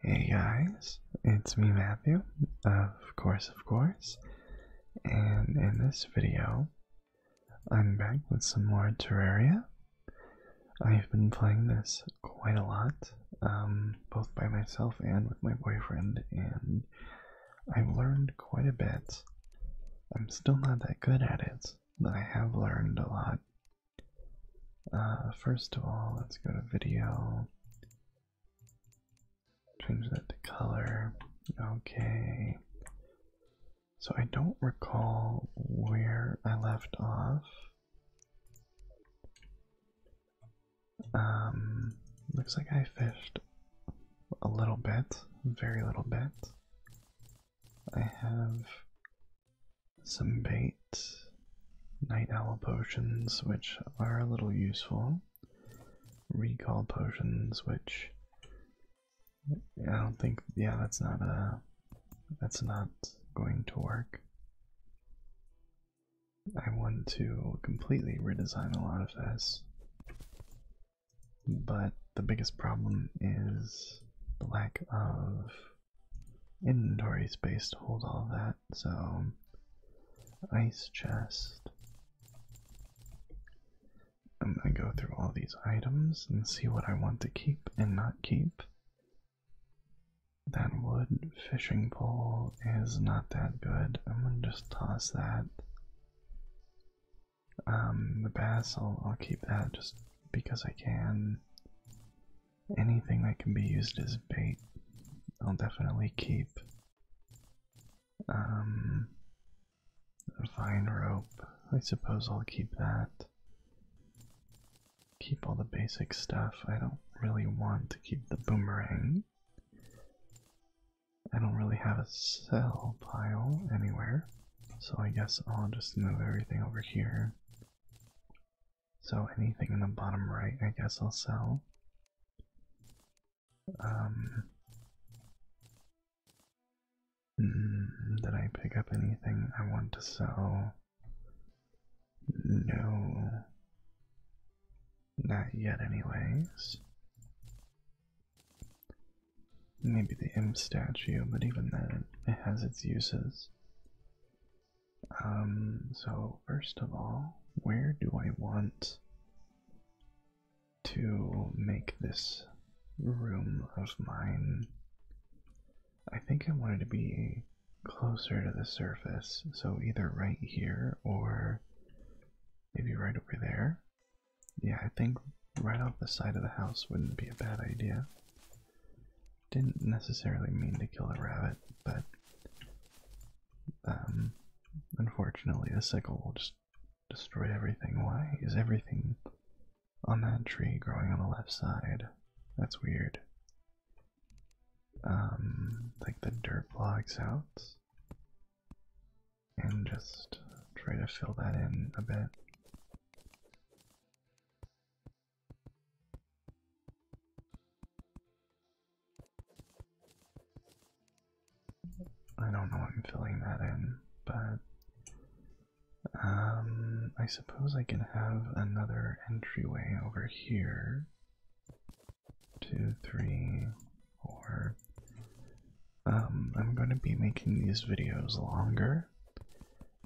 Hey guys, it's me Matthew, of course, of course, and in this video, I'm back with some more Terraria. I've been playing this quite a lot, um, both by myself and with my boyfriend, and I've learned quite a bit. I'm still not that good at it, but I have learned a lot, uh, first of all, let's go to video. Change that to color. Okay. So I don't recall where I left off. Um, looks like I fished a little bit, very little bit. I have some bait, night owl potions, which are a little useful, recall potions, which I don't think, yeah, that's not a, that's not going to work. I want to completely redesign a lot of this, but the biggest problem is the lack of inventory space to hold all that, so um, ice chest. I'm gonna go through all these items and see what I want to keep and not keep. That wood fishing pole is not that good. I'm gonna just toss that. Um, the bass, I'll keep that just because I can anything that can be used as bait, I'll definitely keep. Um, vine rope, I suppose I'll keep that. Keep all the basic stuff. I don't really want to keep the boomerang. I don't really have a cell pile anywhere, so I guess I'll just move everything over here. So anything in the bottom right, I guess I'll sell. Um, did I pick up anything I want to sell? No. Not yet, anyways. Maybe the imp statue, but even then, it has its uses. Um, so first of all, where do I want to make this room of mine? I think I wanted to be closer to the surface, so either right here or maybe right over there. Yeah, I think right off the side of the house wouldn't be a bad idea. Didn't necessarily mean to kill a rabbit, but um, unfortunately, the sickle will just destroy everything. Why is everything on that tree growing on the left side? That's weird. Um, like the dirt blocks out, and just try to fill that in a bit. I don't know I'm filling that in, but um, I suppose I can have another entryway over here. Two, three, four. Um, I'm going to be making these videos longer,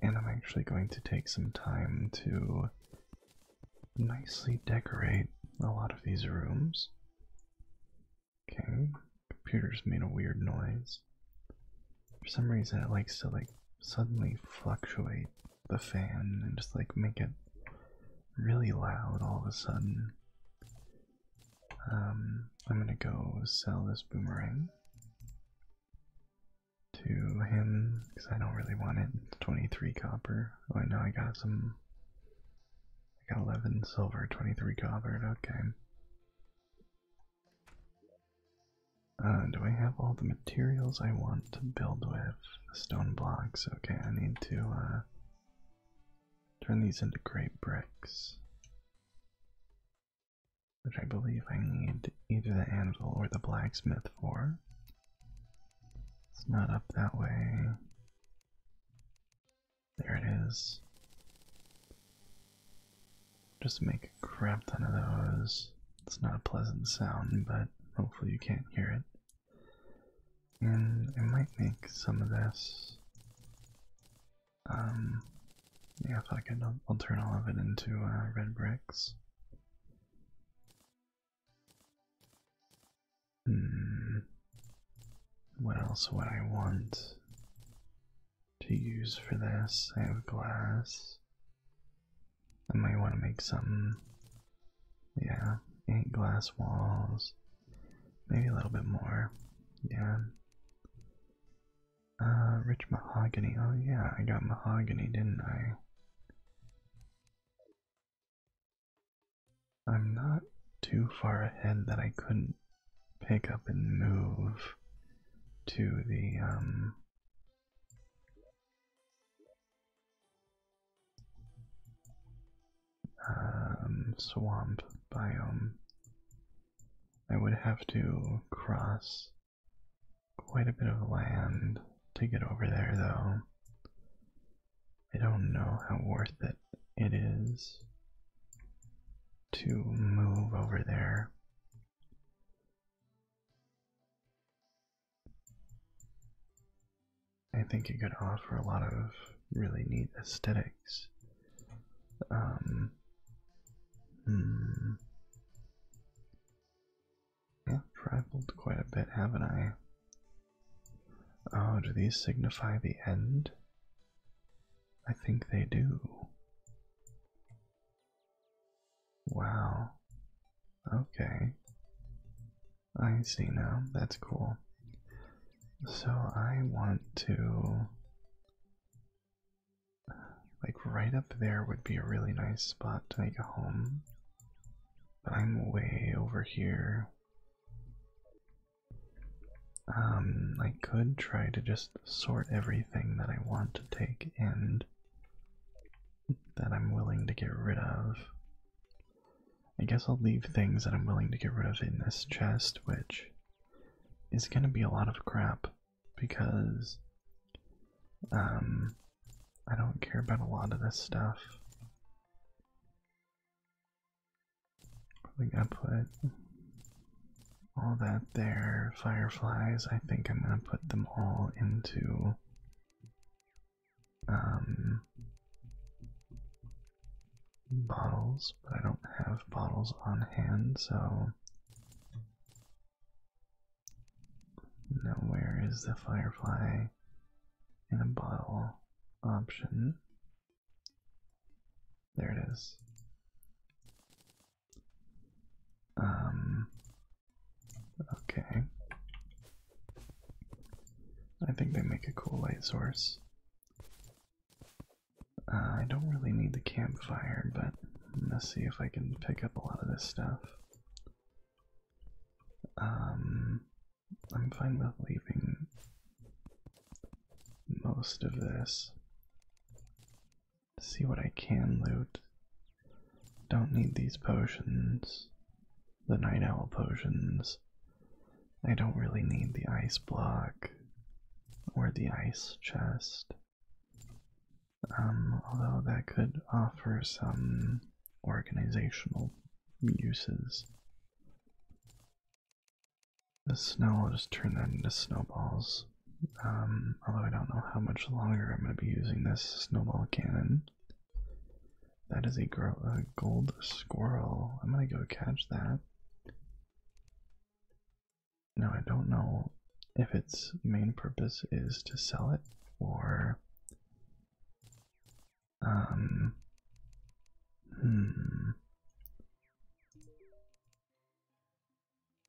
and I'm actually going to take some time to nicely decorate a lot of these rooms. Okay, computer's made a weird noise. For some reason, it likes to like suddenly fluctuate the fan and just like make it really loud all of a sudden. Um, I'm gonna go sell this boomerang to him because I don't really want it. 23 copper. Oh, I know I got some. I got 11 silver, 23 copper. Okay. Uh, do I have all the materials I want to build with? Stone blocks. Okay, I need to uh, turn these into great bricks. Which I believe I need either the anvil or the blacksmith for. It's not up that way. There it is. Just make a crap ton of those. It's not a pleasant sound, but hopefully you can't hear it. And I might make some of this. Um, yeah, fuck I'll, I'll turn all of it into uh, red bricks. Hmm. What else would I want to use for this? I have glass. I might want to make something. Yeah, glass walls. Maybe a little bit more. Yeah. Uh, rich mahogany. Oh, yeah, I got mahogany, didn't I? I'm not too far ahead that I couldn't pick up and move to the um, um swamp biome. I would have to cross quite a bit of land to get over there, though. I don't know how worth it it is to move over there. I think it could offer a lot of really neat aesthetics. Um, hmm. I've traveled quite a bit, haven't I? Oh, do these signify the end? I think they do. Wow. Okay. I see now. That's cool. So I want to. Like, right up there would be a really nice spot to make a home. But I'm way over here. Um, I could try to just sort everything that I want to take and that I'm willing to get rid of. I guess I'll leave things that I'm willing to get rid of in this chest, which is gonna be a lot of crap because um I don't care about a lot of this stuff. I am gonna put all that there. Fireflies, I think I'm gonna put them all into um, bottles, but I don't have bottles on hand, so now where is the firefly? a in a bottle option. There it is. Um okay. I think they make a cool light source. Uh, I don't really need the campfire, but let's see if I can pick up a lot of this stuff. Um, I'm fine with leaving most of this. See what I can loot. Don't need these potions, the night owl potions. I don't really need the ice block or the ice chest. Um, although that could offer some organizational uses. The snow will just turn that into snowballs. Um, although I don't know how much longer I'm going to be using this snowball cannon. That is a gold squirrel. I'm going to go catch that. Now, I don't know if its main purpose is to sell it or um, hmm.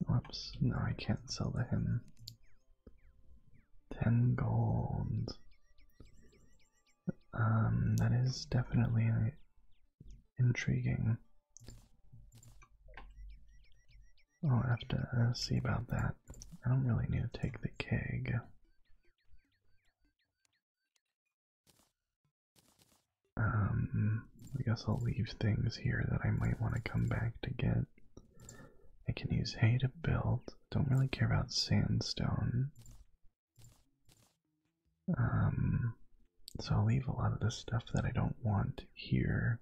Whoops, no, I can't sell to him. Ten gold. Um, that is definitely intriguing. I'll have to uh, see about that. I don't really need to take the keg. Um, I guess I'll leave things here that I might want to come back to get. I can use hay to build. Don't really care about sandstone. Um, so I'll leave a lot of the stuff that I don't want here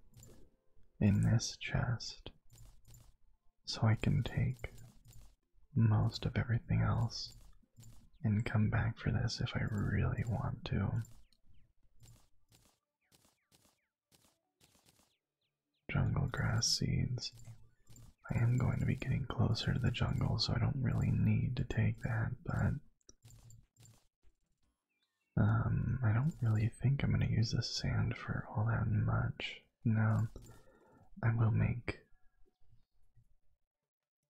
in this chest so I can take most of everything else and come back for this if I really want to. Jungle grass seeds. I am going to be getting closer to the jungle, so I don't really need to take that, but. Um, I don't really think I'm going to use the sand for all that much. Now I will make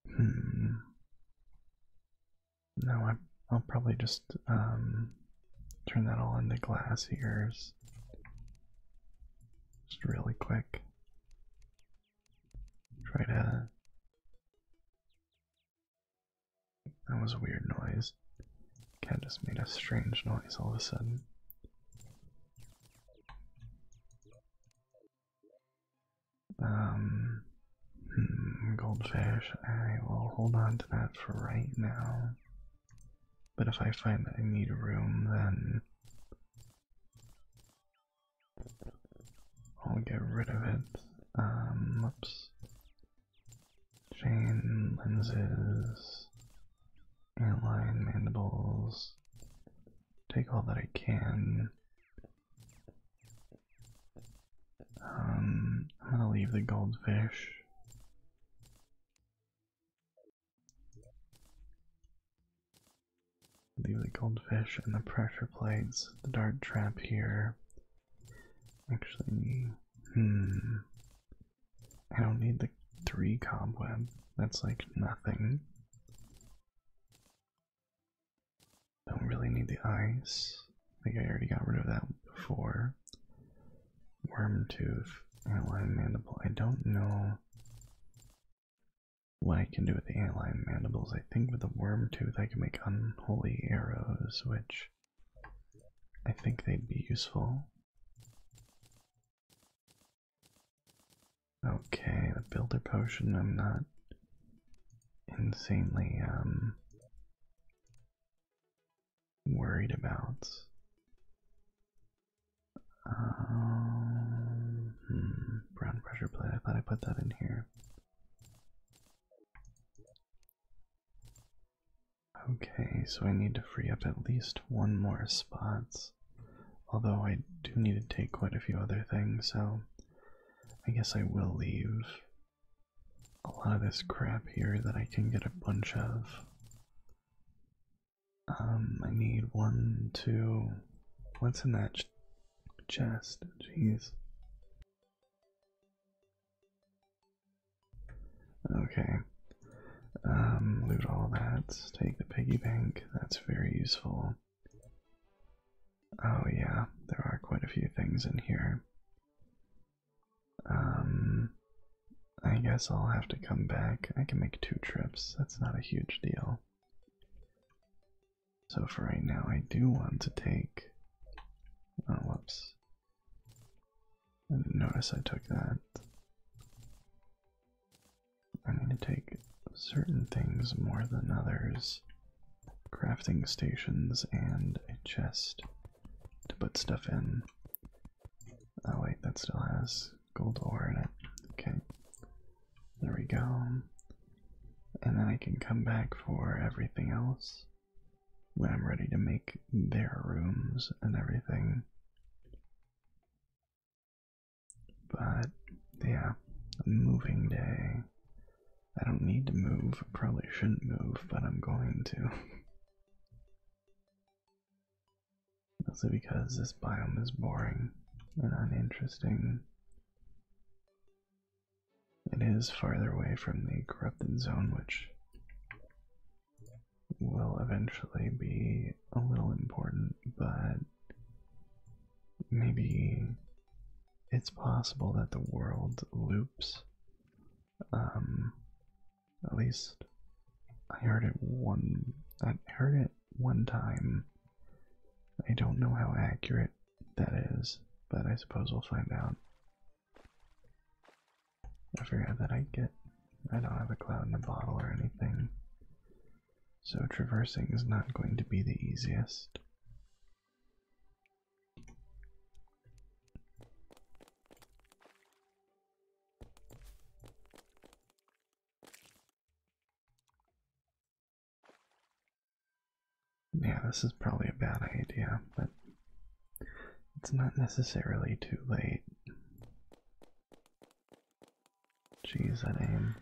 hmm. No, I, I'll probably just um, turn that all into glass ears. Just really quick. Try to. That was a weird noise. Cat just made a strange noise all of a sudden. Um, hmm, goldfish, I will hold on to that for right now. But if I find that I need room, then I'll get rid of it. Um, oops. Chain lenses airline mandibles. Take all that I can. Um, I'm gonna leave the goldfish. Leave the goldfish and the pressure plates, the dart trap here. Actually, hmm. I don't need the three cobweb. That's like nothing. Don't really need the ice. I think I already got rid of that before. Worm tooth, antlion mandible. I don't know what I can do with the antlion mandibles. I think with the worm tooth I can make unholy arrows, which I think they'd be useful. Okay, the builder potion, I'm not insanely um, worried about. Um, hmm, brown pressure plate, I thought I put that in here. Okay, so I need to free up at least one more spot. Although I do need to take quite a few other things, so I guess I will leave a lot of this crap here that I can get a bunch of. Um, I need one, two. What's in that chest? Jeez. Okay, um, loot all that. Take the piggy bank. That's very useful. Oh yeah, there are quite a few things in here. Um, I guess I'll have to come back. I can make two trips. That's not a huge deal. So for right now, I do want to take. Oh, whoops. I didn't notice I took that. I'm going to take certain things more than others crafting stations and a chest to put stuff in. Oh, wait, that still has gold ore in it. Okay. There we go. And then I can come back for everything else when I'm ready to make their rooms and everything. But yeah, a moving day. I don't need to move. probably shouldn't move, but I'm going to. Mostly because this biome is boring and uninteresting. It is farther away from the corrupted zone, which will eventually be a little important, but maybe it's possible that the world loops. Um, at least I heard it one. I heard it one time. I don't know how accurate that is, but I suppose we'll find out. I forgot that I get. I don't have a cloud in a bottle or anything so traversing is not going to be the easiest. Yeah, this is probably a bad idea, but it's not necessarily too late. Jeez, that aim.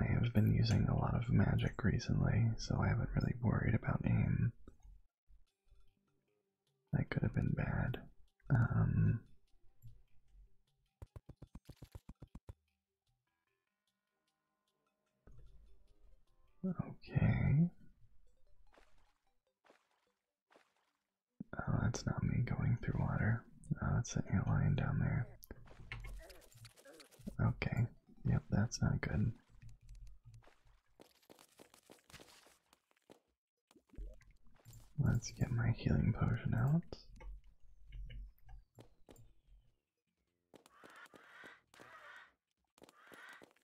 I have been using a lot of magic recently, so I haven't really worried about aim. That could have been bad. Um, okay. Oh, that's not me going through water. Oh, that's an ant lion down there. Okay. Yep, that's not good. Let's get my healing potion out.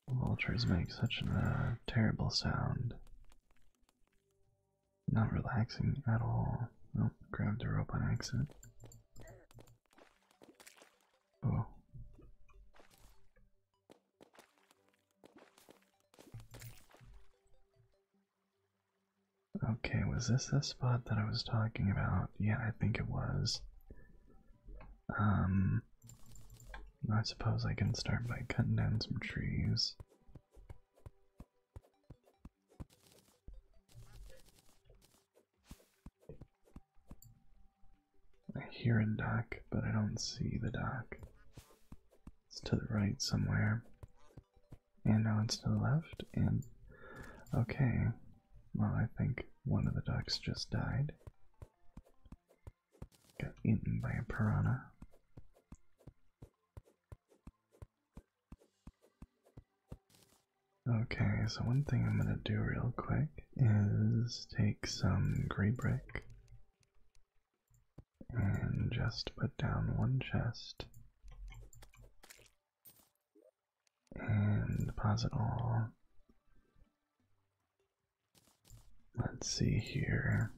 Vultures make such a terrible sound. Not relaxing at all. Nope, grabbed the rope on accident. Oh. Okay, was this the spot that I was talking about? Yeah, I think it was. Um, I suppose I can start by cutting down some trees. I hear a dock, but I don't see the dock. It's to the right somewhere. And now it's to the left, and okay. Well, I think one of the ducks just died. Got eaten by a piranha. Okay, so one thing I'm gonna do real quick is take some gray brick and just put down one chest and deposit all. Let's see here.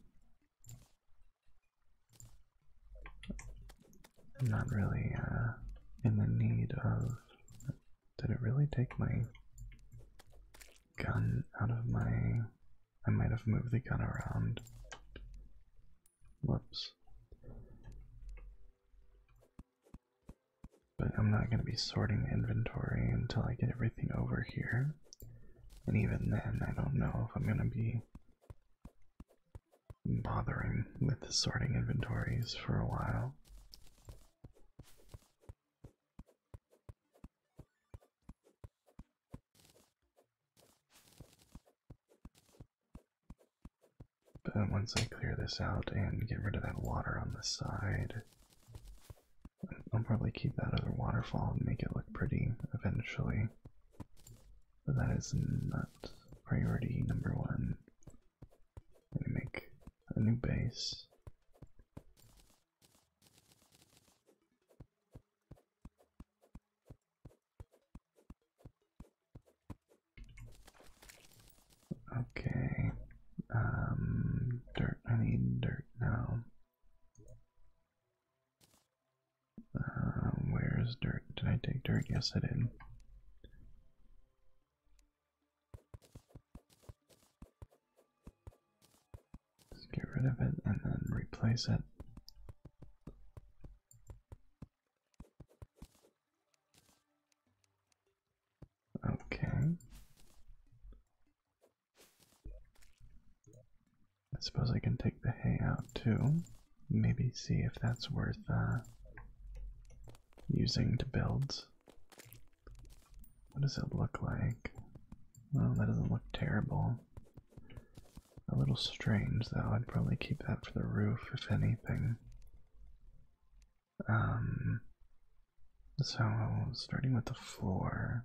I'm not really uh, in the need of. Did it really take my gun out of my. I might have moved the gun around. Whoops. But I'm not going to be sorting inventory until I get everything over here. And even then, I don't know if I'm going to be bothering with sorting inventories for a while. But once I clear this out and get rid of that water on the side, I'll probably keep that other waterfall and make it look pretty eventually. But that is not priority number one. I'm make a new base. Okay. Um dirt I need dirt now. Uh, where is dirt? Did I take dirt? Yes, I did. Just get rid of it and then replace it. Okay. I suppose I can take the hay out too. Maybe see if that's worth uh, using to build. What does it look like? Well, that doesn't look terrible. A little strange though. I'd probably keep that for the roof, if anything. Um. So, starting with the floor,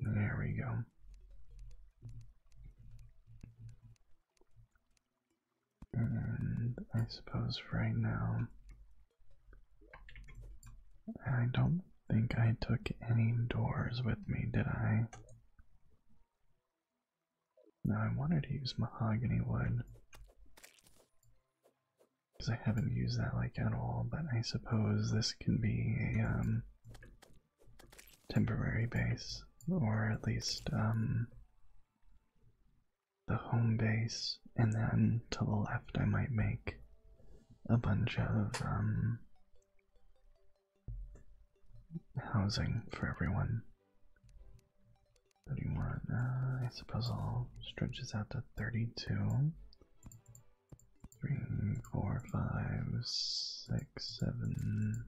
There we go. And I suppose right now, I don't think I took any doors with me, did I? No, I wanted to use mahogany wood because I haven't used that like at all, but I suppose this can be a um, temporary base, or at least um, the home base, and then to the left I might make a bunch of um, housing for everyone. What uh, I suppose I'll stretch this out to 32 three, four, five, six, seven.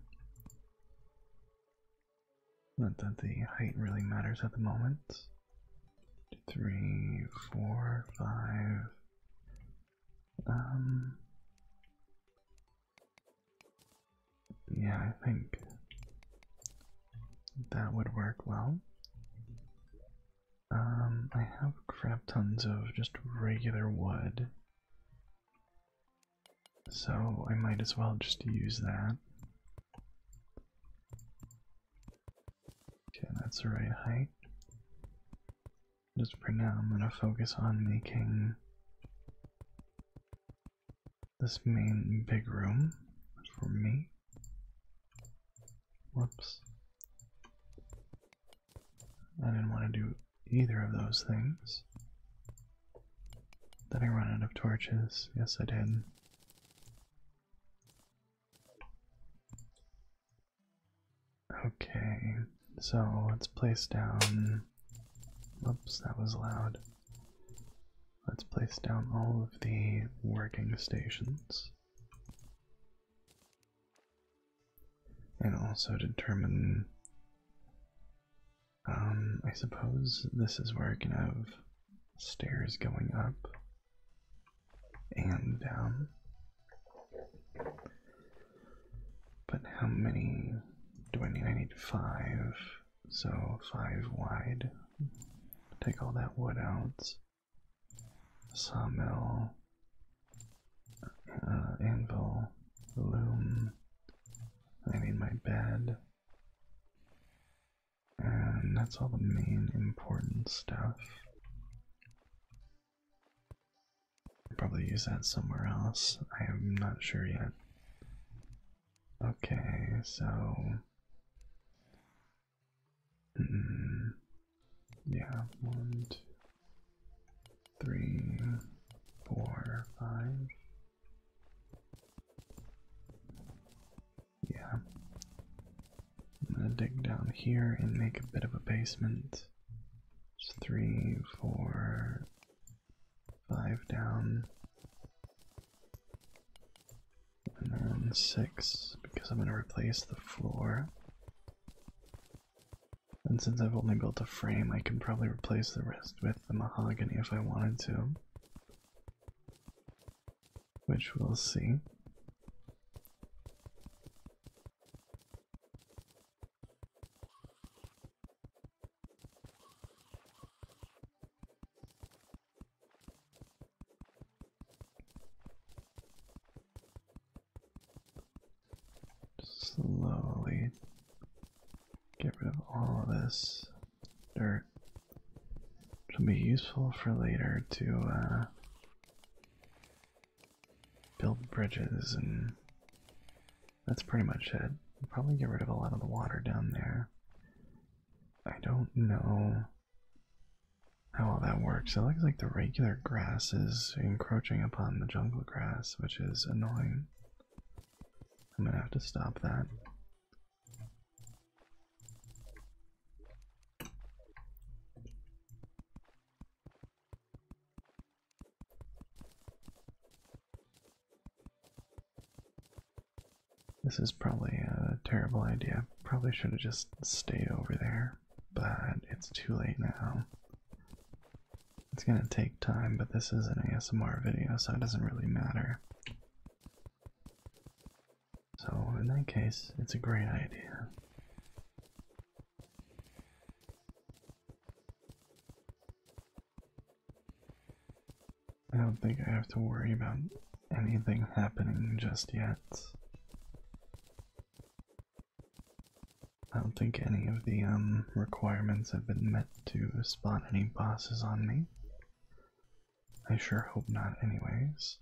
Not that the height really matters at the moment. Three, four, five. Um. Yeah, I think that would work well. Um, I have crap tons of just regular wood. So I might as well just use that. Okay, that's the right height. Just for now, I'm gonna focus on making this main big room for me. Whoops. I didn't want to do either of those things. Did I run out of torches? Yes, I did. Okay, so let's place down. Whoops, that was loud. Let's place down all of the working stations and also determine um, I suppose this is where I can have stairs going up and down. But how many do I need? I need five, so five wide. Take all that wood out sawmill, uh, anvil, loom. I need my bed. And that's all the main important stuff. probably use that somewhere else. I am not sure yet. Okay, so Mm-hmm. yeah, one, two, three, four, five. Yeah. I'm gonna dig down here and make a bit of a basement. It's three, four, five down. And then six, because I'm gonna replace the floor and since I've only built a frame, I can probably replace the rest with the mahogany if I wanted to. Which we'll see. Slowly get rid of all of this dirt. It'll be useful for later to uh, build bridges, and that's pretty much it. We'll probably get rid of a lot of the water down there. I don't know how all that works. It looks like the regular grass is encroaching upon the jungle grass, which is annoying. I'm gonna have to stop that. This is probably a terrible idea. Probably should have just stayed over there but it's too late now. It's gonna take time, but this is an ASMR video, so it doesn't really matter. So, in that case, it's a great idea. I don't think I have to worry about anything happening just yet. I don't think any of the um, requirements have been met to spot any bosses on me. I sure hope not, anyways.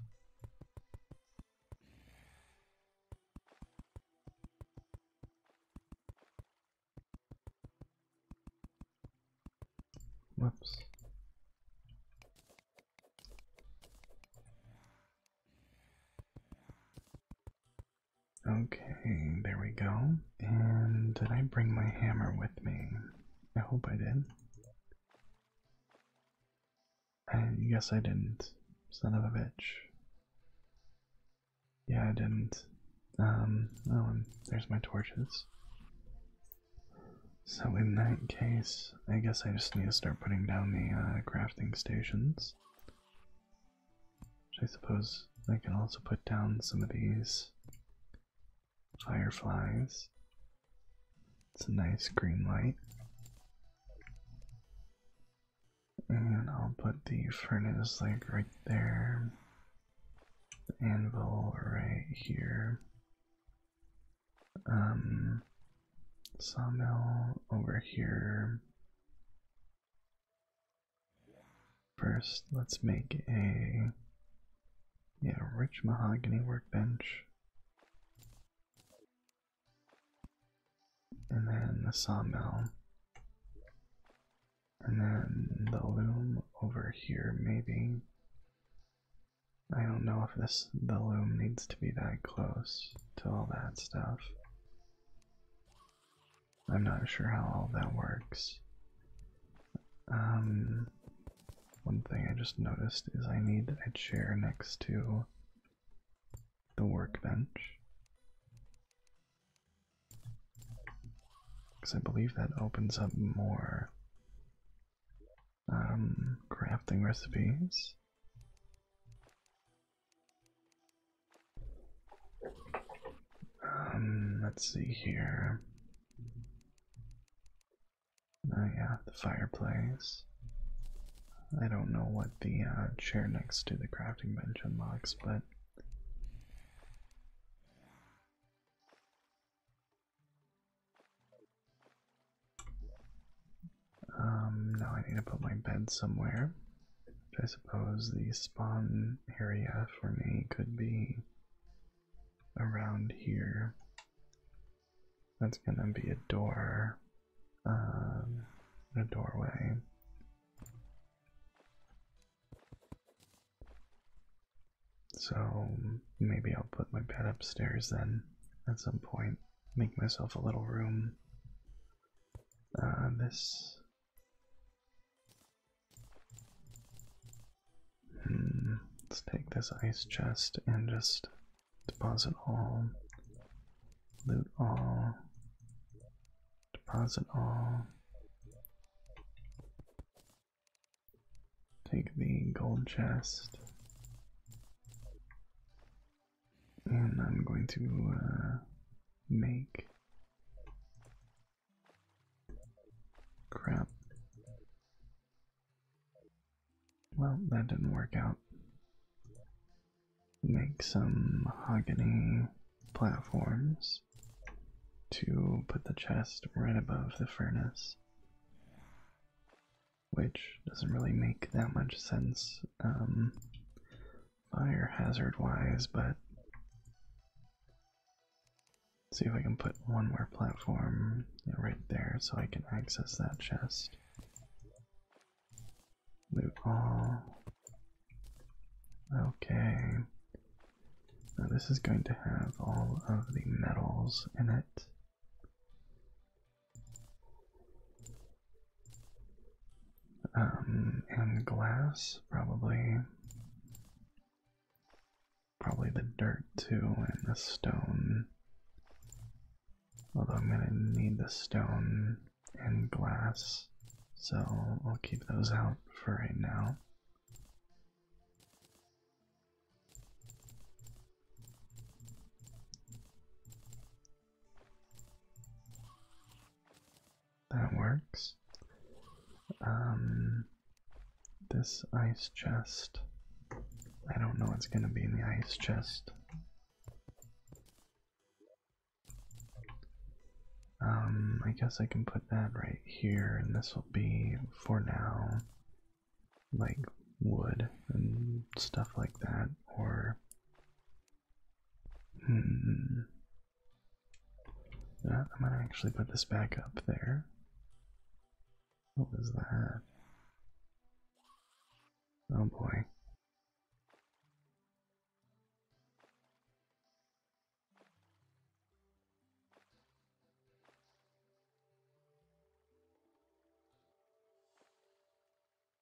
Whoops. Okay, there we go. And did I bring my hammer with me? I hope I did. I guess I didn't. Son of a bitch. Yeah, I didn't. Um, oh, there's my torches. So in that case, I guess I just need to start putting down the uh, crafting stations. I suppose I can also put down some of these fireflies. It's a nice green light. And I'll put the furnace like right there, the anvil right here. Um, sawmill over here. First, let's make a yeah, rich mahogany workbench. And then the sawmill. And then the loom over here, maybe. I don't know if this the loom needs to be that close to all that stuff. I'm not sure how all that works. Um, one thing I just noticed is I need a chair next to the workbench. Because I believe that opens up more um, crafting recipes. Um, let's see here. Oh, yeah, the fireplace. I don't know what the uh, chair next to the crafting bench unlocks, but. Um, now I need to put my bed somewhere. I suppose the spawn area for me could be around here. That's gonna be a door, um, a doorway. So maybe I'll put my bed upstairs then at some point, make myself a little room. Uh, this. Hmm, let's take this ice chest and just deposit all, loot all, deposit all. Take the gold chest and I'm going to uh, make crap. Well, that didn't work out. Make some mahogany platforms to put the chest right above the furnace, which doesn't really make that much sense. Um, fire hazard wise, but see if I can put one more platform right there so I can access that chest. Loot all. Okay. Now this is going to have all of the metals in it. Um, and glass, probably. Probably the dirt too, and the stone. Although I'm gonna need the stone and glass, so I'll keep those out for right now. That works. Um, this ice chest. I don't know what's going to be in the ice chest. Um, I guess I can put that right here, and this will be for now like wood and stuff like that, or Hmm. Uh, I'm gonna actually put this back up there. What was that? Oh boy.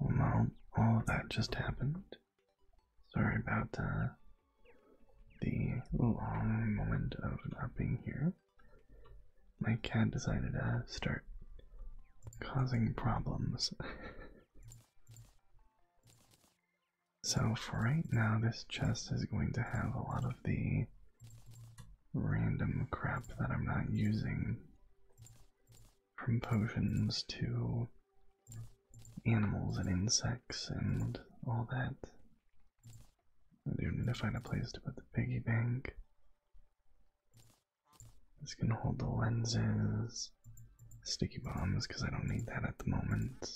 Oh, all Oh, that just happened. Sorry about uh, the long moment of not being here. My cat decided to start causing problems. so, for right now, this chest is going to have a lot of the random crap that I'm not using from potions to animals and insects and all that. I do need to find a place to put the piggy bank. This can hold the lenses, sticky bombs, because I don't need that at the moment.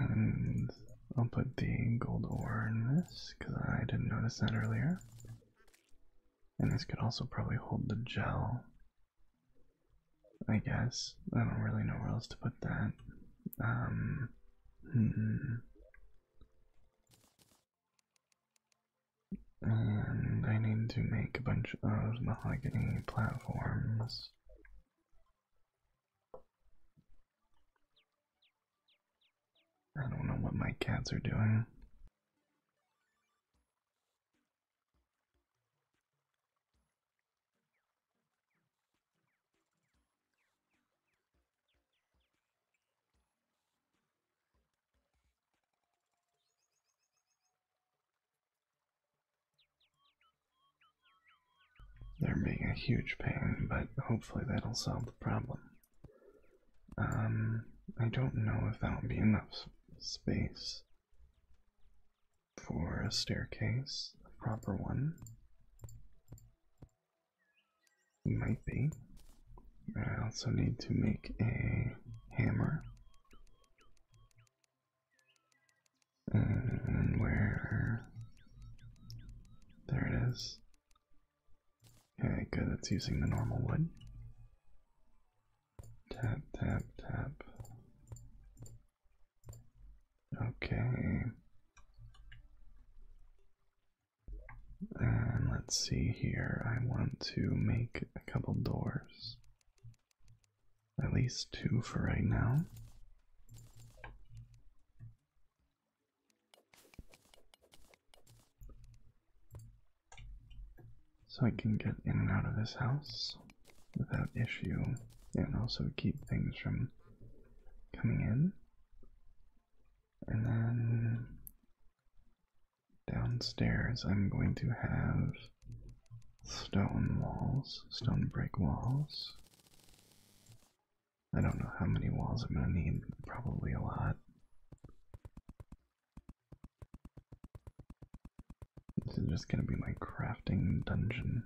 And I'll put the gold ore in this because I didn't notice that earlier. And this could also probably hold the gel. I guess. I don't really know where else to put that. Um. Hmm. And I need to make a bunch of mahogany platforms. I don't know what my cats are doing. They're being a huge pain, but hopefully that'll solve the problem. Um, I don't know if that will be enough space for a staircase, a proper one. Might be. I also need to make a hammer. And where? There it is. Okay, good, that's using the normal wood. Tap, tap, tap. Okay. And let's see here. I want to make a couple doors. At least two for right now. So I can get in and out of this house without issue and also keep things from coming in. And then downstairs, I'm going to have stone walls, stone brick walls. I don't know how many walls I'm going to need, probably a lot. This is just gonna be my crafting dungeon.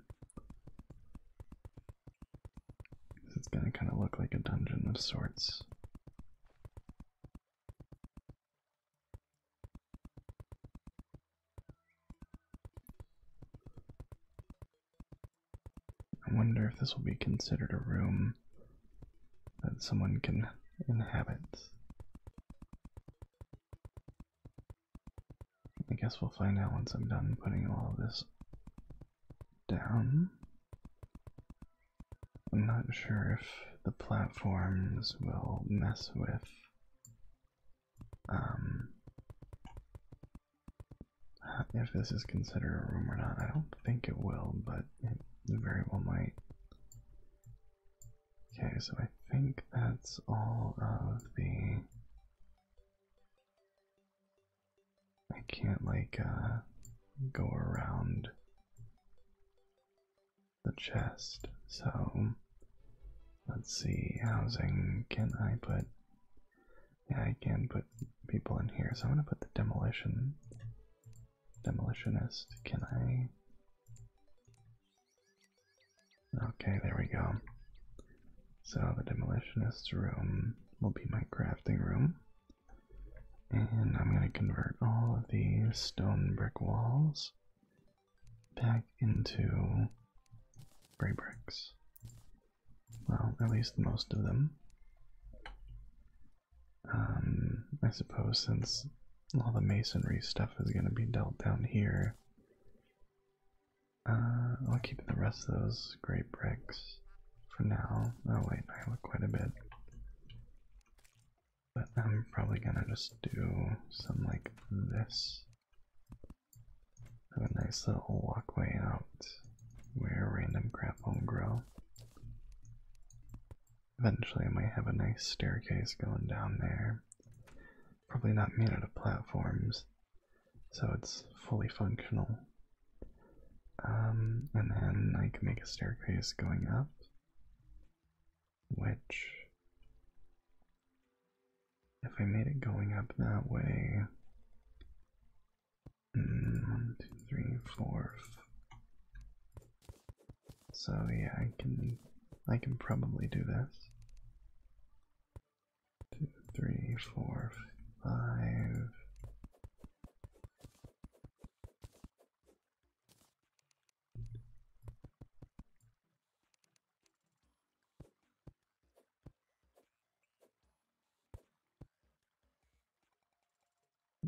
This is gonna kind of look like a dungeon of sorts. I wonder if this will be considered a room that someone can inhabit. I guess we'll find out once I'm done putting all of this down. I'm not sure if the platforms will mess with um, if this is considered a room or not. I don't think it will, but it very well might. Okay, so I think that's all of the. I can't, like, uh, go around the chest, so let's see. Housing, can I put. Yeah, I can put people in here, so I'm gonna put the demolition Demolitionist, can I? Okay, there we go. So the demolitionist's room will be my crafting room. And I'm going to convert all of the stone brick walls back into gray bricks. Well, at least most of them. Um, I suppose since all the masonry stuff is going to be dealt down here, uh, I'll keep the rest of those great bricks for now. Oh wait, I have quite a bit. But I'm probably gonna just do some like this. a nice little walkway out where random crap won't grow. Eventually, I might have a nice staircase going down there. Probably not made out of platforms, so it's fully functional. Um, and then I can make a staircase going up, which, if I made it going up that way, one, mm, two, three, four. So yeah, I can I can probably do this. Two, three, four, five.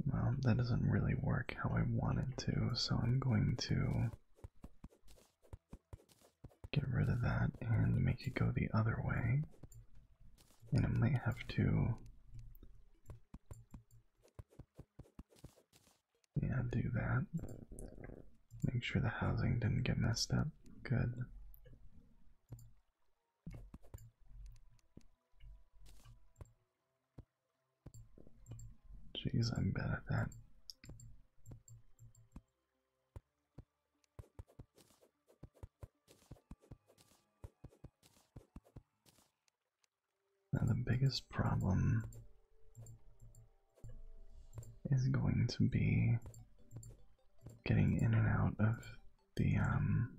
Well, that doesn't really work how I wanted to, so I'm going to get rid of that and make it go the other way. And I might have to. Yeah, do that. Make sure the housing didn't get messed up. Good. Jeez, I'm bad at that. Now, the biggest problem is going to be getting in and out of the um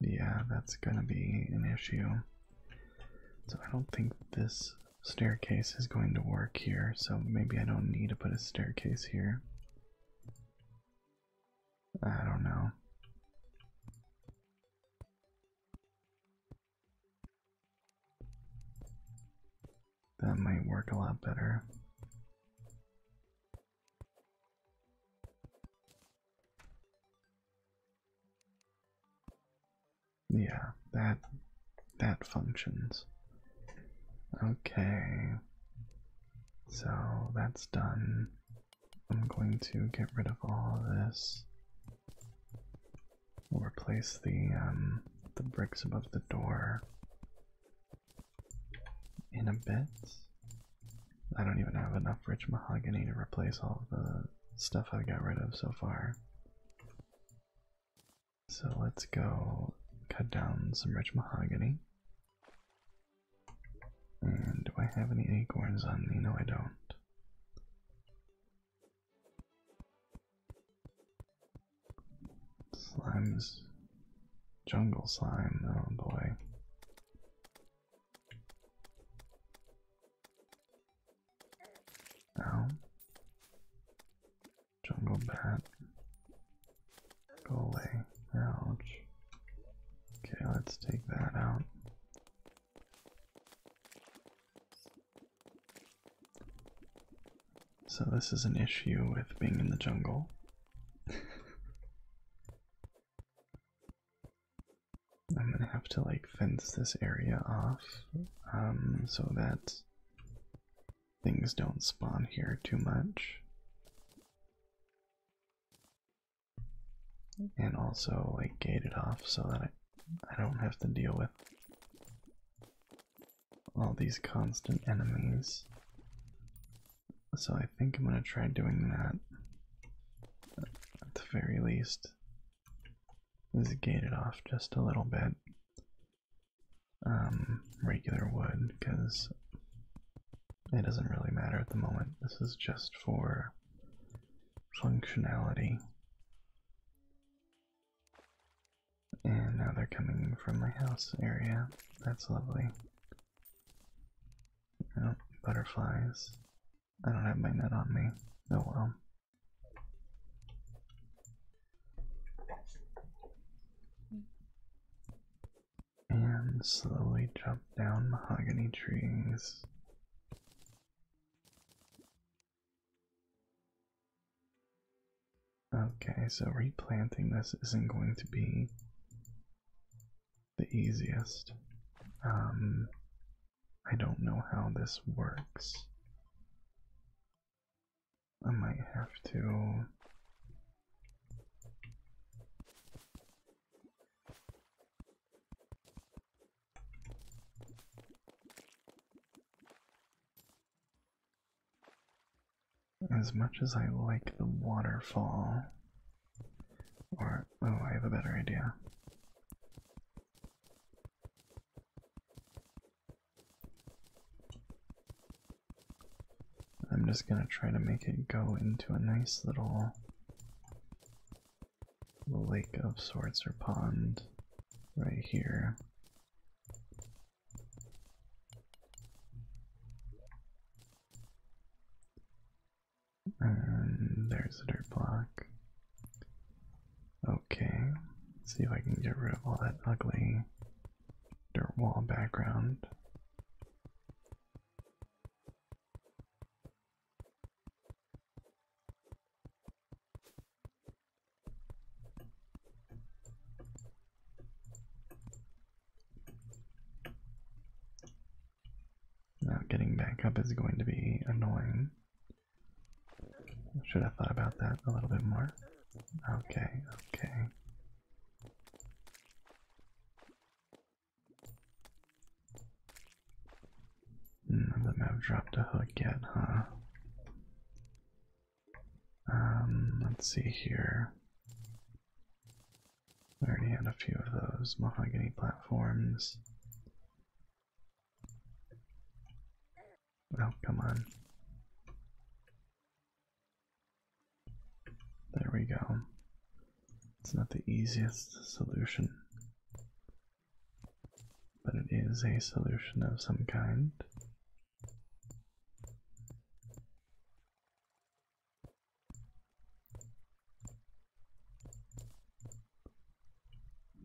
yeah, that's gonna be an issue. So I don't think this staircase is going to work here, so maybe I don't need to put a staircase here. I don't know. That might work a lot better. Yeah, that that functions. Okay. So that's done. I'm going to get rid of all of this. We'll replace the um, the bricks above the door in a bit. I don't even have enough rich mahogany to replace all the stuff I've got rid of so far. So let's go cut down some rich mahogany. And do I have any acorns on me? No, I don't. Slimes jungle slime. Oh boy. Ow. Jungle bat. Go away. Ouch. Okay, let's take that out. So, this is an issue with being in the jungle. I'm gonna have to like fence this area off um, so that things don't spawn here too much. And also like gate it off so that I, I don't have to deal with all these constant enemies so I think I'm gonna try doing that at the very least. This is gated off just a little bit. Um, regular wood, because it doesn't really matter at the moment. This is just for functionality. And now they're coming from my house area. That's lovely. Oh, butterflies. I don't have my net on me. Oh well. And slowly jump down mahogany trees. Okay, so replanting this isn't going to be the easiest. Um, I don't know how this works. I might have to. As much as I like the waterfall, or oh, I have a better idea. I'm just gonna try to make it go into a nice little lake of sorts or pond right here. And there's the dirt block. Okay, Let's see if I can get rid of all that ugly dirt wall background. Now getting back up is going to be annoying. Should have thought about that a little bit more. Okay, okay. Hmm, None of dropped a hook yet, huh? Um, let's see here. I already had a few of those mahogany platforms. Oh, come on. There we go. It's not the easiest solution, but it is a solution of some kind.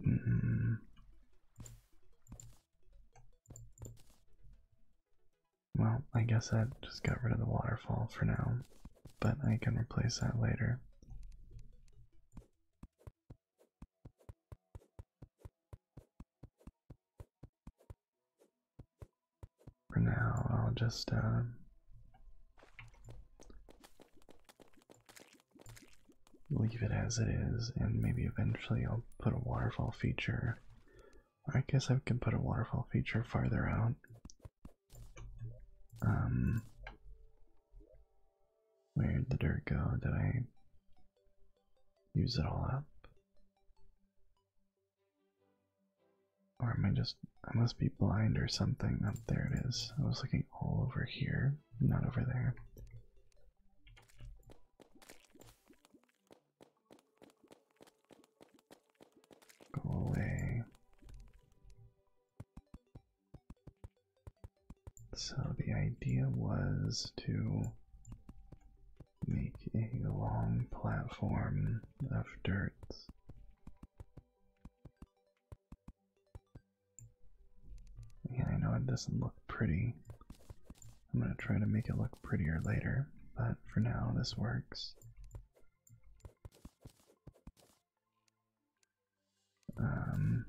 Mm-hmm. Well, I guess I just got rid of the waterfall for now, but I can replace that later for now, I'll just um, leave it as it is, and maybe eventually I'll put a waterfall feature. I guess I can put a waterfall feature farther out. Um, where did the dirt go? Did I use it all up? Or am I just. I must be blind or something. Up oh, there it is. I was looking all over here, not over there. Go away. So the idea was to make a long platform of dirt I know it doesn't look pretty. I'm going to try to make it look prettier later, but for now, this works. Um,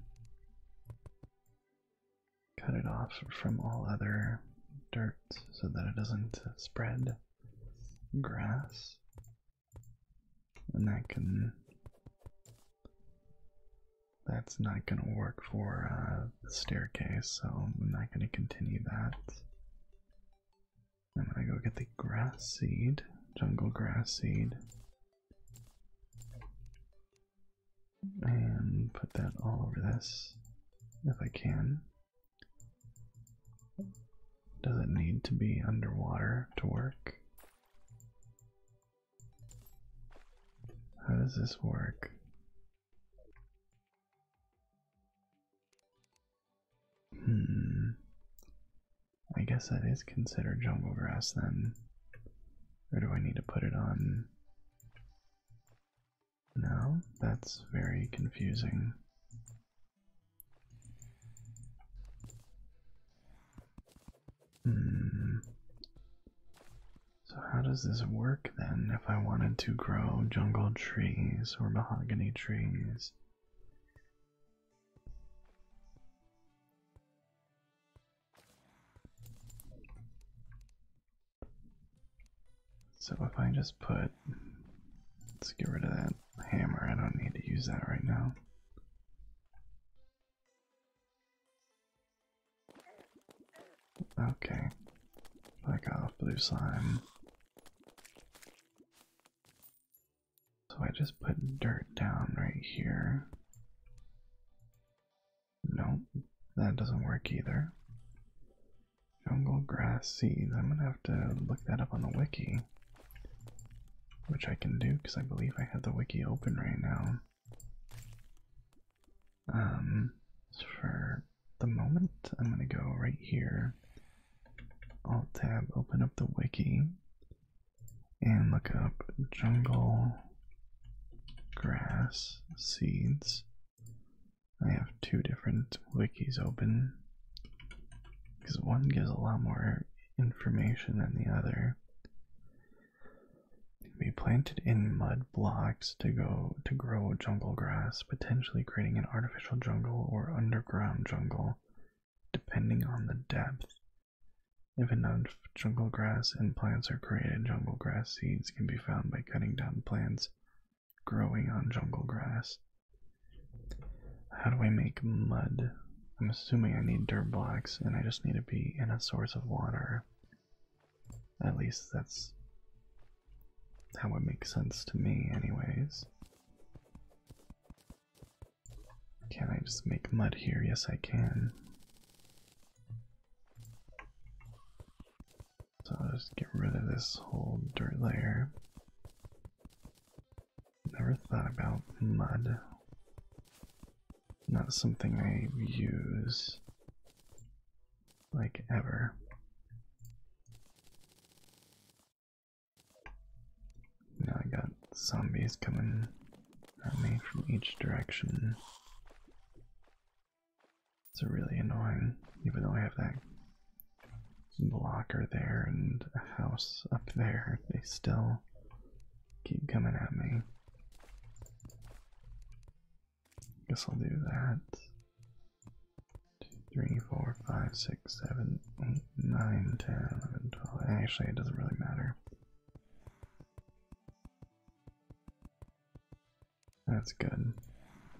cut it off from all other dirt so that it doesn't spread grass, and that can that's not going to work for uh, the staircase, so I'm not going to continue that. I'm going to go get the grass seed, jungle grass seed, and put that all over this if I can. Does it need to be underwater to work? How does this work? Hmm. I guess that is considered jungle grass then. Or do I need to put it on? No, that's very confusing. Hmm. So, how does this work then if I wanted to grow jungle trees or mahogany trees? So, if I just put, let's get rid of that hammer. I don't need to use that right now. Okay. I got blue slime. So I just put dirt down right here. Nope, that doesn't work either. Jungle grass seeds. I'm gonna have to look that up on the wiki. Which I can do because I believe I have the wiki open right now. Um, for the moment, I'm gonna go right here. Alt tab, open up the wiki, and look up jungle grass seeds. I have two different wikis open. Because one gives a lot more information than the other. can be planted in mud blocks to go to grow jungle grass, potentially creating an artificial jungle or underground jungle, depending on the depth. If enough jungle grass and plants are created, jungle grass seeds can be found by cutting down plants growing on jungle grass. How do I make mud? I'm assuming I need dirt blocks and I just need to be in a source of water. At least that's how it makes sense to me, anyways. Can I just make mud here? Yes, I can. So I'll just get rid of this whole dirt layer. Never thought about mud. Not something I use like ever. Now I got zombies coming at me from each direction. It's really annoying, even though I have that blocker there and a house up there. They still keep coming at me. Guess I'll do that. Two, three, four, five, six, seven, eight, nine, ten, eleven, twelve. Actually, it doesn't really matter. That's good.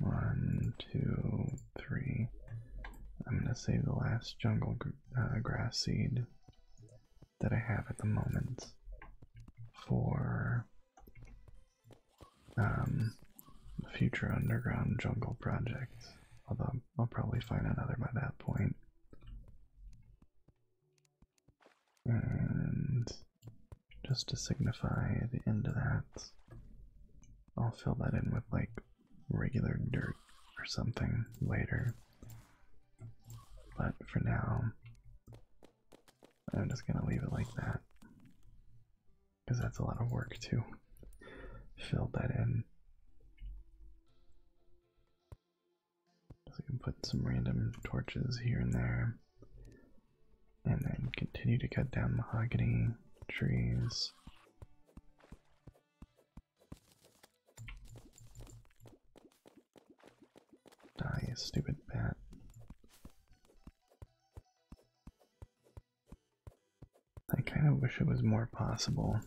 One, two, three. I'm gonna save the last jungle uh, grass seed that I have at the moment for a um, future underground jungle project. Although I'll probably find another by that point. And just to signify the end of that, I'll fill that in with like regular dirt or something later. But for now, I'm just gonna leave it like that. Because that's a lot of work to fill that in. So we can put some random torches here and there. And then continue to cut down mahogany trees. Die, stupid bat. I kind of wish it was more possible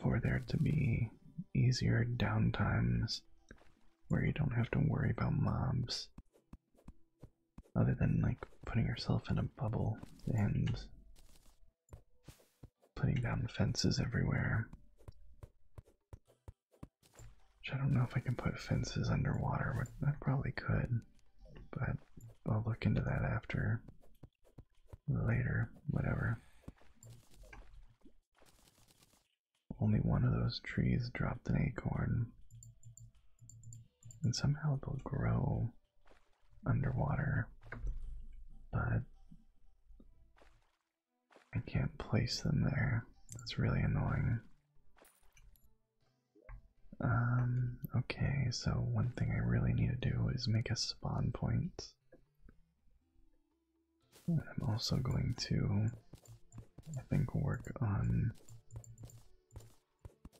for there to be easier downtimes where you don't have to worry about mobs other than like putting yourself in a bubble and putting down fences everywhere. Which I don't know if I can put fences underwater, but I probably could. But I'll look into that after. Later, whatever. Only one of those trees dropped an acorn. And somehow it will grow underwater, but I can't place them there. That's really annoying. Um, okay, so one thing I really need to do is make a spawn point. I'm also going to, I think, work on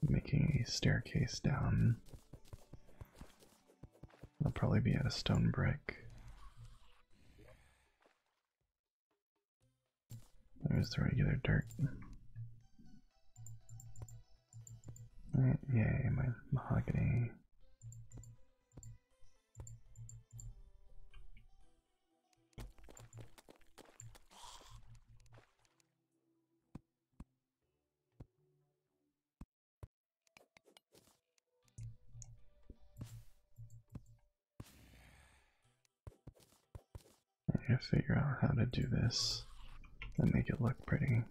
making a staircase down I'll probably be at a stone brick. There's the regular dirt. Alright, yay, my mahogany. I gotta figure out how to do this and make it look pretty.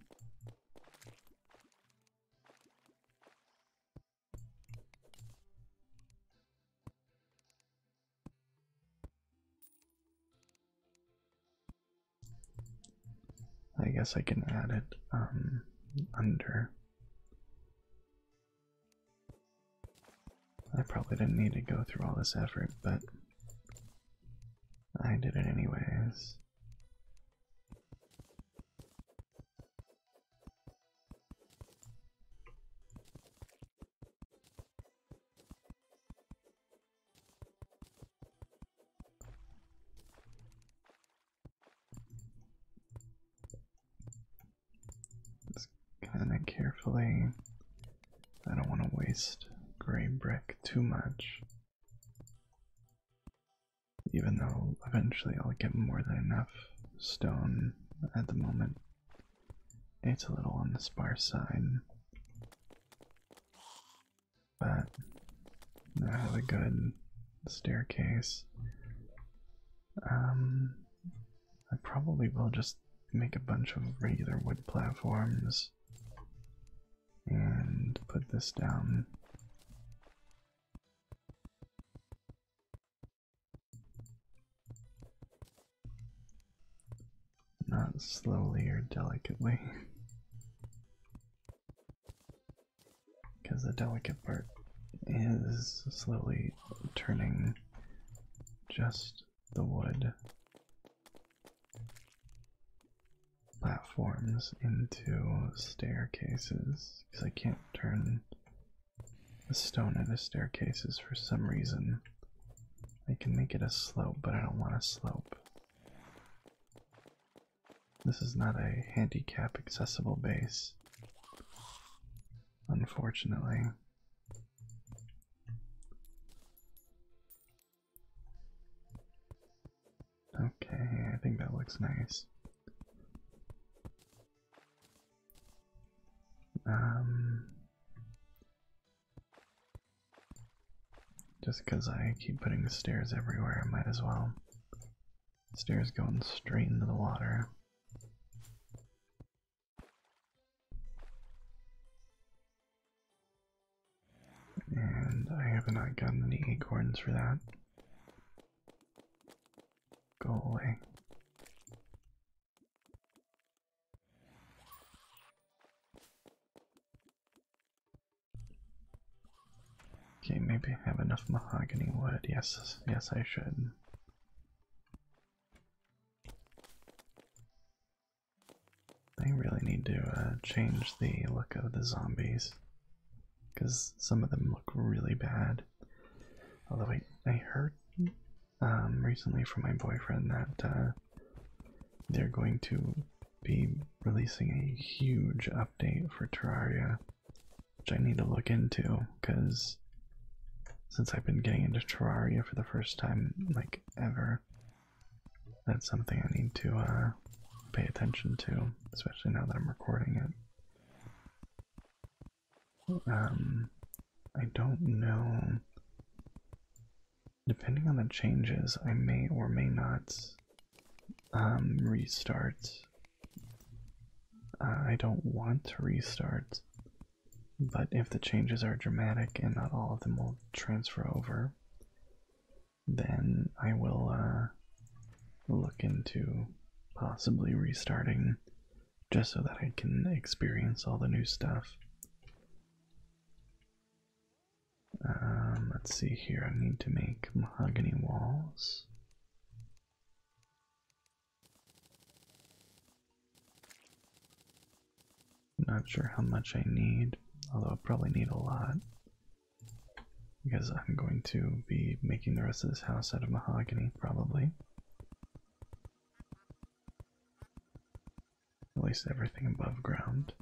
I guess I can add it um, under. I probably didn't need to go through all this effort, but I did it anyways. Just kind of carefully. I don't want to waste gray brick too much. Even though eventually I'll get more than enough stone at the moment. It's a little on the sparse side but that has a good staircase. Um, I probably will just make a bunch of regular wood platforms and put this down. Not slowly or delicately. Because the delicate part is slowly turning just the wood platforms into staircases. Because I can't turn the stone into staircases for some reason. I can make it a slope, but I don't want a slope. This is not a handicap accessible base, unfortunately. Okay, I think that looks nice. Um just because I keep putting stairs everywhere, I might as well. Stairs going straight into the water. And I have not gotten any acorns for that. Go away. Okay, maybe I have enough mahogany wood. Yes, yes, I should. I really need to uh, change the look of the zombies because some of them look really bad. Although I, I heard um, recently from my boyfriend that uh, they're going to be releasing a huge update for Terraria, which I need to look into because since I've been getting into Terraria for the first time, like ever, that's something I need to uh, pay attention to, especially now that I'm recording it. Um, I don't know. Depending on the changes, I may or may not um, restart. Uh, I don't want to restart, but if the changes are dramatic and not all of them will transfer over, then I will uh, look into possibly restarting just so that I can experience all the new stuff. Um, let's see here. I need to make mahogany walls. I'm not sure how much I need, although I probably need a lot because I'm going to be making the rest of this house out of mahogany, probably. At least everything above ground.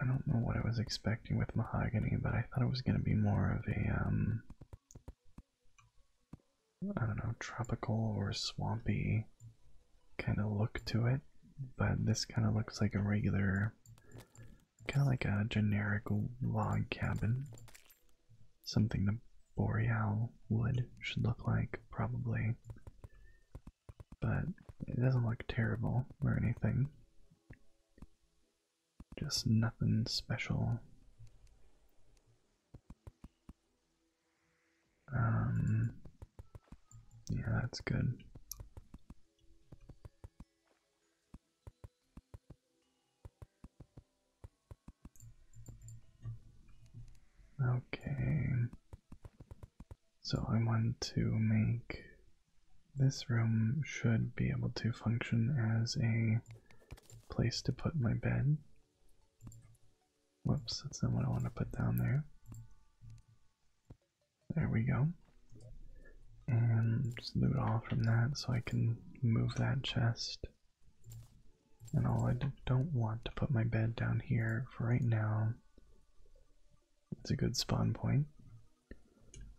I don't know what I was expecting with mahogany, but I thought it was going to be more of a, um, don't know, tropical or swampy kind of look to it. But this kind of looks like a regular kind of like a generic log cabin. Something the boreal wood should look like, probably. But it doesn't look terrible or anything. Just nothing special. Um, yeah, that's good. Okay, so I want to make this room should be able to function as a place to put my bed. Whoops, that's not what I want to put down there. There we go and just loot all from that so I can move that chest. And all I don't want to put my bed down here for right now. It's a good spawn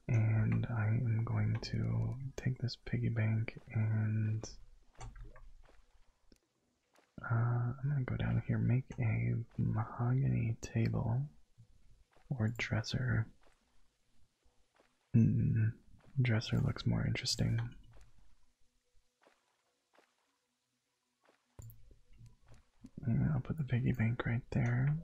And I am going to take this piggy bank and uh, I'm gonna go down here, make a mahogany table or dresser Mm-hmm. dresser looks more interesting. I'll put the piggy bank right there.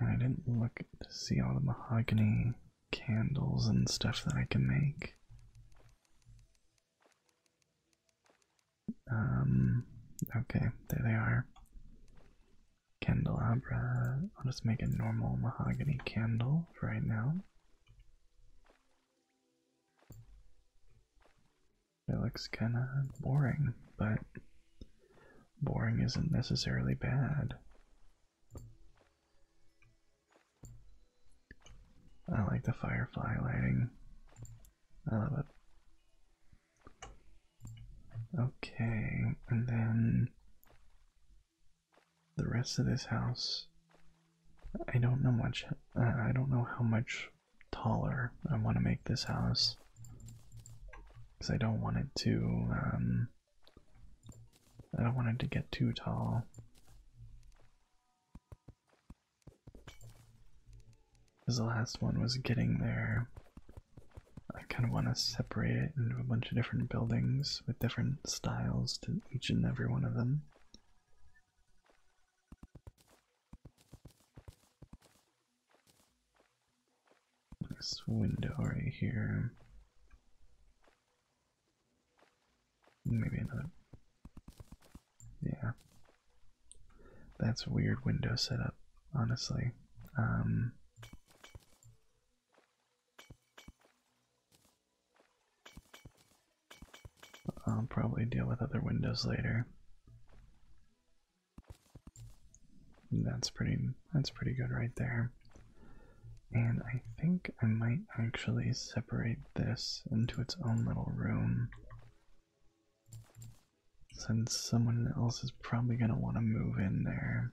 I didn't look to see all the mahogany candles and stuff that I can make. Um, okay, there they are candelabra. I'll just make a normal mahogany candle right now. It looks kind of boring, but boring isn't necessarily bad. I like the firefly lighting. I love it. Okay, and then the rest of this house. I don't know much. Uh, I don't know how much taller I want to make this house because I don't want it to. Um, I don't want it to get too tall. Because the last one was getting there I kind of want to separate it into a bunch of different buildings with different styles to each and every one of them. This window right here. Maybe another. Yeah. That's a weird window setup, honestly. Um, I'll probably deal with other windows later. That's pretty that's pretty good right there. And I think I might actually separate this into its own little room. Since someone else is probably going to want to move in there.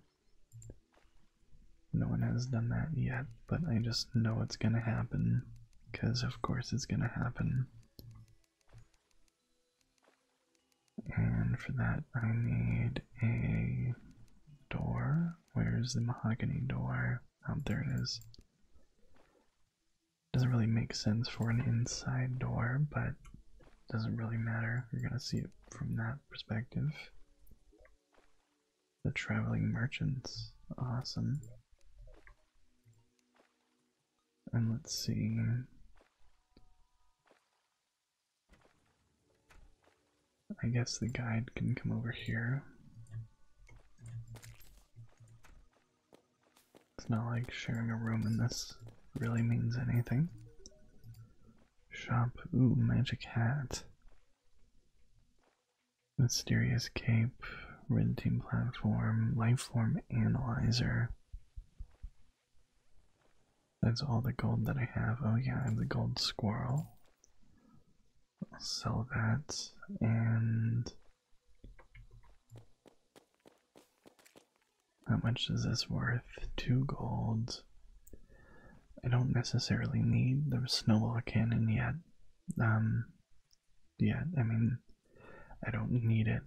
No one has done that yet, but I just know it's going to happen. Because, of course, it's going to happen. And for that, I need a door. Where's the mahogany door? Oh, there it is. Doesn't really make sense for an inside door, but doesn't really matter. You're gonna see it from that perspective. The traveling merchants, awesome. And let's see. I guess the guide can come over here. It's not like sharing a room in this really means anything. Shop. Ooh, magic hat. Mysterious cape. Red platform. Lifeform analyzer. That's all the gold that I have. Oh yeah, I have the gold squirrel. sell that and how much is this worth? Two golds. I don't necessarily need the snowball cannon yet. Um, yeah, I mean, I don't need it,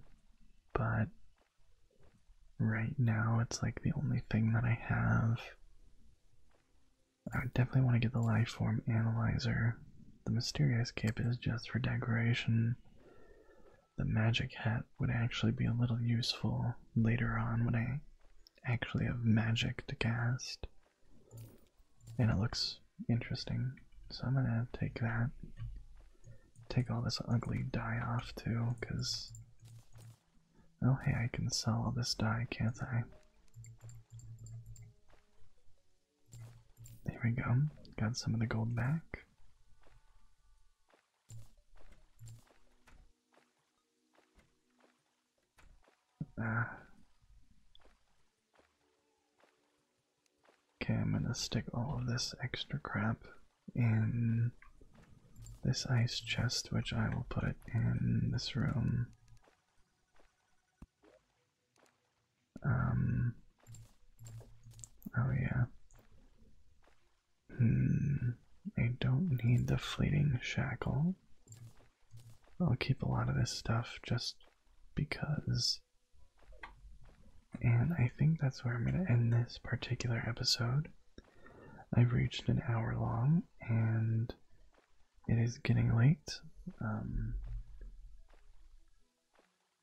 but right now it's like the only thing that I have. I definitely want to get the life form analyzer. The mysterious cape is just for decoration the magic hat would actually be a little useful later on when I actually have magic to cast. And it looks interesting, so I'm gonna take that. Take all this ugly dye off too, because. Oh, hey, I can sell all this dye, can't I? There we go, got some of the gold back. Uh, okay, I'm gonna stick all of this extra crap in this ice chest, which I will put in this room. Um. Oh, yeah. Hmm, I don't need the fleeting shackle. I'll keep a lot of this stuff just because. And I think that's where I'm going to end this particular episode. I've reached an hour long and it is getting late. Um,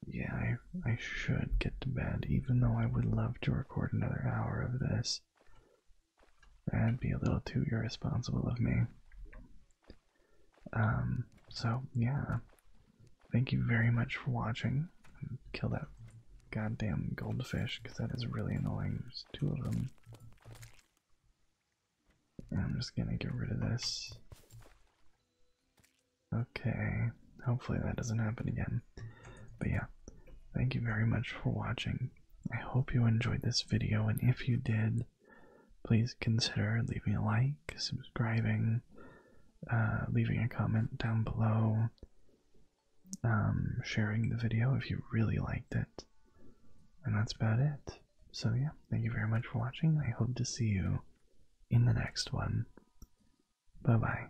yeah, I should get to bed, even though I would love to record another hour of this. That'd be a little too irresponsible of me. Um, so yeah. Thank you very much for watching. Kill that goddamn goldfish because that is really annoying. There's two of them. I'm just gonna get rid of this. Okay, hopefully that doesn't happen again. But yeah, thank you very much for watching. I hope you enjoyed this video, and if you did, please consider leaving a like, subscribing, uh, leaving a comment down below, um, sharing the video if you really liked it. And that's about it. So yeah, thank you very much for watching. I hope to see you in the next one. Bye bye.